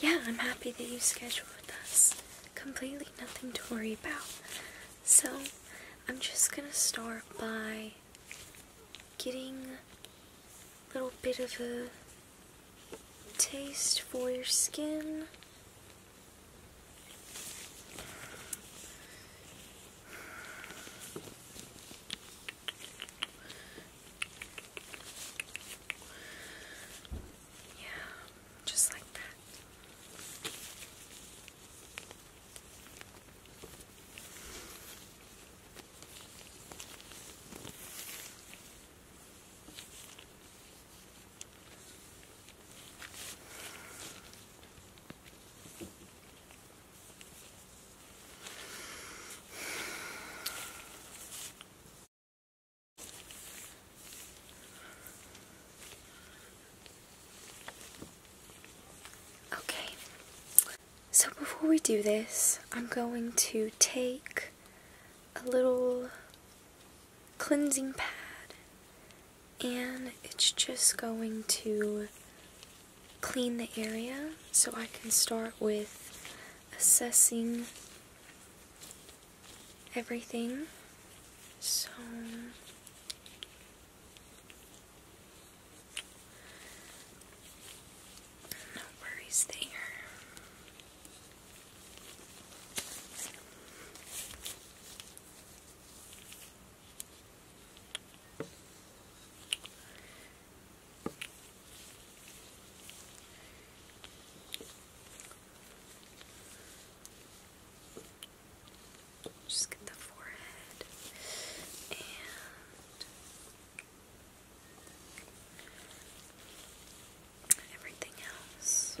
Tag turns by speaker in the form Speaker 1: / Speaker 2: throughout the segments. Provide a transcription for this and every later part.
Speaker 1: Yeah, I'm happy that you scheduled with us. Completely nothing to worry about. So, I'm just gonna start by getting a little bit of a taste for your skin. Yeah, just like that. Okay, so before we do this, I'm going to take a little cleansing pad and it's just going to clean the area so I can start with assessing everything. So no worries there. Just get the forehead and everything else.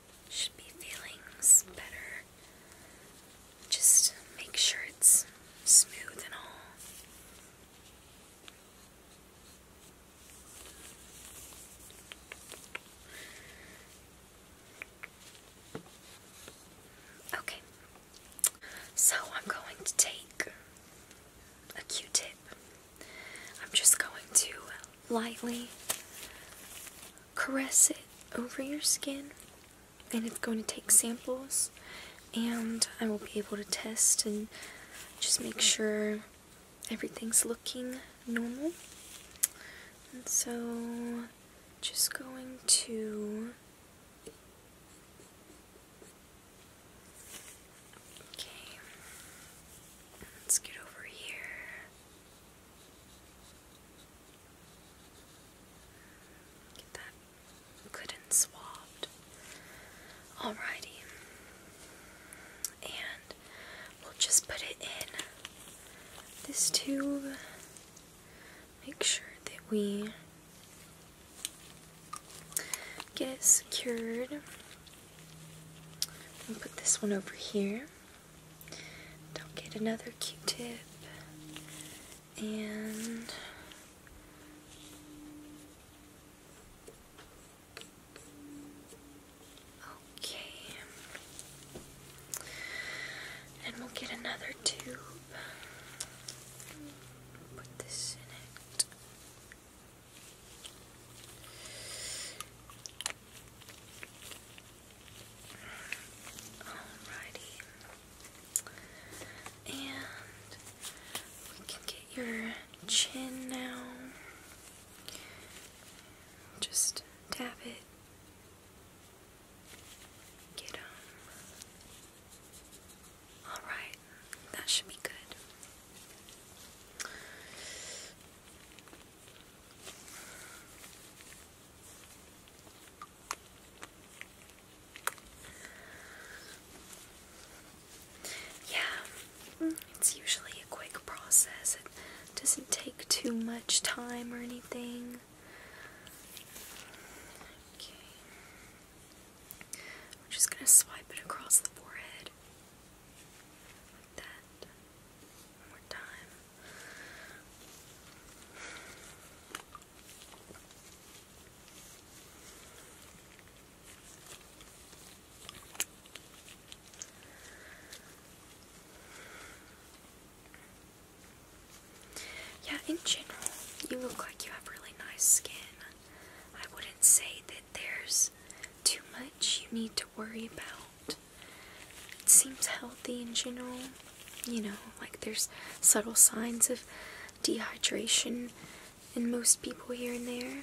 Speaker 1: should be feeling better. Just make sure it's smooth and all. Okay, so I'm going to take a Q tip. I'm just going to lightly, caress it over your skin, and it's going to take samples, and I will be able to test and just make sure everything's looking normal. And so, just going to Okay. Let's get over here. Get that good and swabbed. Alrighty. And we'll just put it in this tube. Make sure that we get it secured. And put this one over here. Don't get another Q-tip. And okay, and we'll get another tube. Put this in it. Alrighty. And we can get your chin now. Just tap it. Get Alright, that should be good. Yeah, it's usually a quick process. It doesn't take too much time or anything. Okay. We're just going to swipe it across the forehead like that. Yeah, in general, you look like you have really nice skin. I wouldn't say that there's too much you need to worry about. It seems healthy in general. You know, like there's subtle signs of dehydration in most people here and there.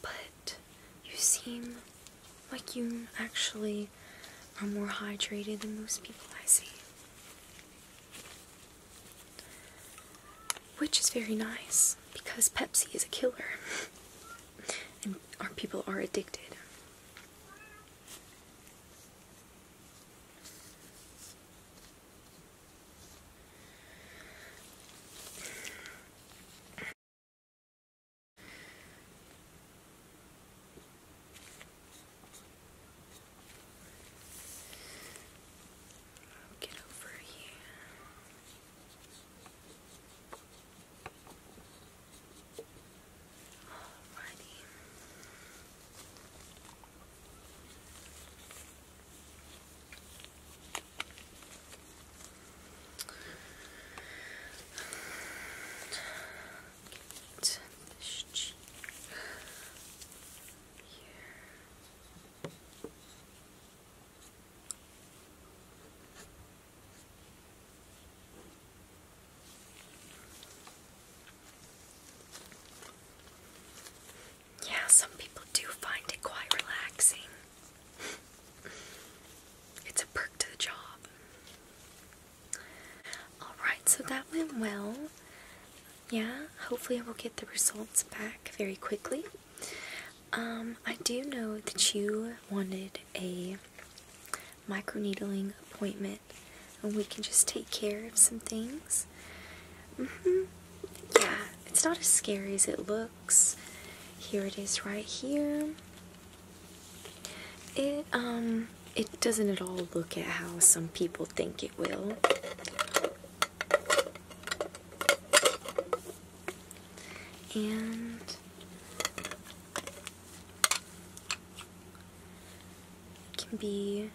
Speaker 1: But you seem like you actually are more hydrated than most people I see. Which is very nice because Pepsi is a killer and our people are addicted. Get over here. Alrighty. Get this cheek here. Yeah, some people do find it quite relaxing. it's a perk to the job. Alright, so that went well yeah, hopefully, I will get the results back very quickly. Um, I do know that you wanted a microneedling appointment, and we can just take care of some things. Mm-hmm. Yeah, it's not as scary as it looks. Here it is, right here. It um, it doesn't at all look at how some people think it will. And it can be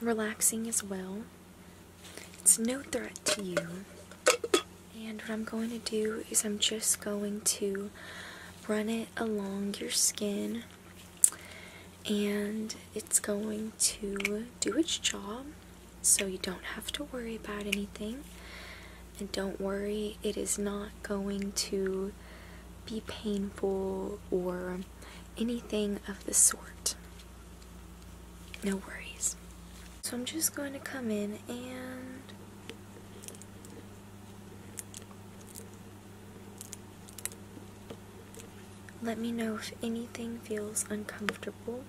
Speaker 1: relaxing as well. It's no threat to you. And what I'm going to do is I'm just going to run it along your skin and it's going to do its job so you don't have to worry about anything. And don't worry, it is not going to be painful or anything of the sort. No worries. So I'm just going to come in and let me know if anything feels uncomfortable.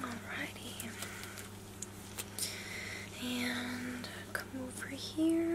Speaker 1: Alrighty. And come over here.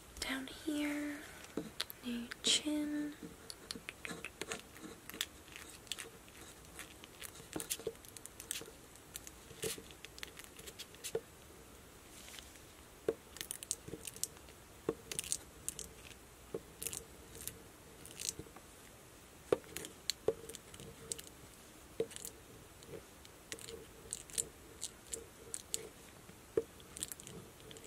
Speaker 1: down here, new chin.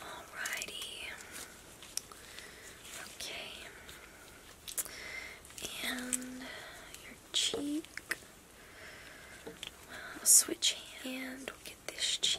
Speaker 1: Alrighty. Okay. And your cheek. switch hand. We'll get this cheek.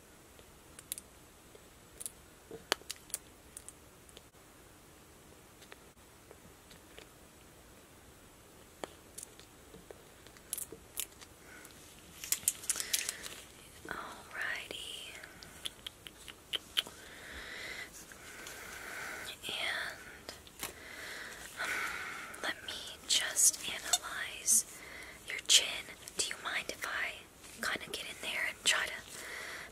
Speaker 1: Alrighty. And um, let me just analyze your chin. Do you mind if I kind of get in there and try to,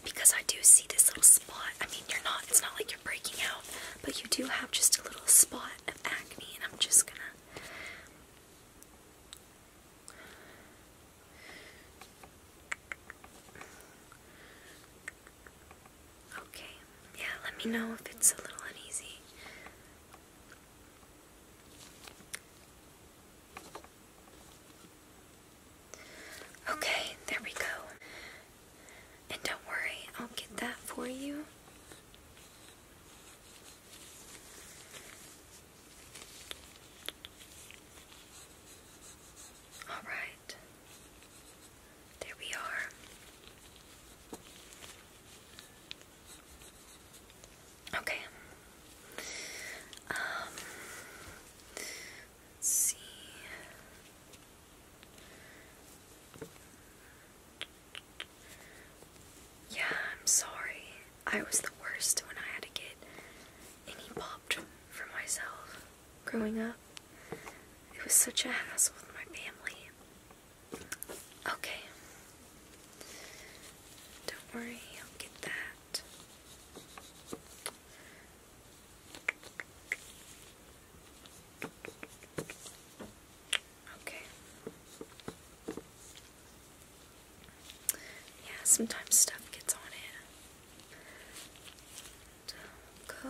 Speaker 1: because I do see this little spot. I mean, you're not, it's not like you're breaking out, but you do have just a little spot of acne, and I'm just gonna. Okay, yeah, let me know if it's a little uneasy. Okay, there we go. And don't worry, I'll get that for you. All right. There we are. Okay. Um, let's see. Yeah, I'm sorry. I was the worst when I had to get any popped for myself growing up. It was such a hassle with my family. Okay. Don't worry, I'll get that. Okay. Yeah, sometimes stuff gets on it. Go.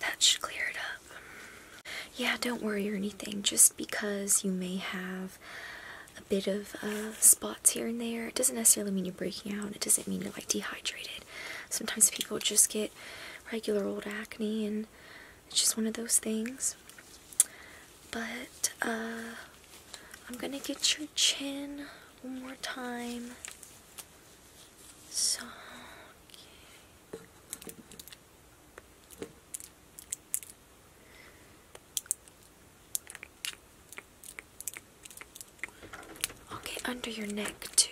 Speaker 1: That should clear it up. Yeah, don't worry or anything. Just because you may have a bit of uh, spots here and there, it doesn't necessarily mean you're breaking out. It doesn't mean you're like dehydrated. Sometimes people just get regular old acne, and it's just one of those things. But uh, I'm gonna get your chin one more time. So cute. Okay, under your neck too.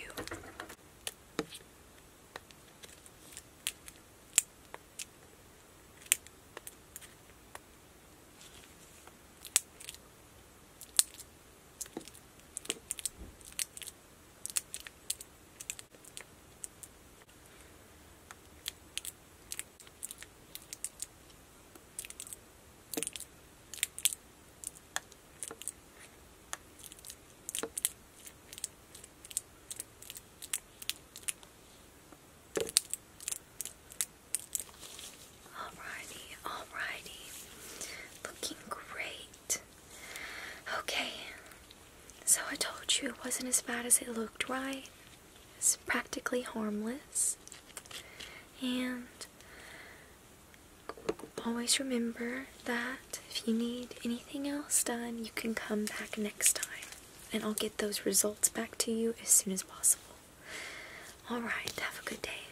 Speaker 1: Alrighty, alrighty. Looking great. Okay. So I told you it wasn't as bad as it looked, right? It's practically harmless. And always remember that if you need anything else done, you can come back next time. And I'll get those results back to you as soon as possible. Alright, have a good day.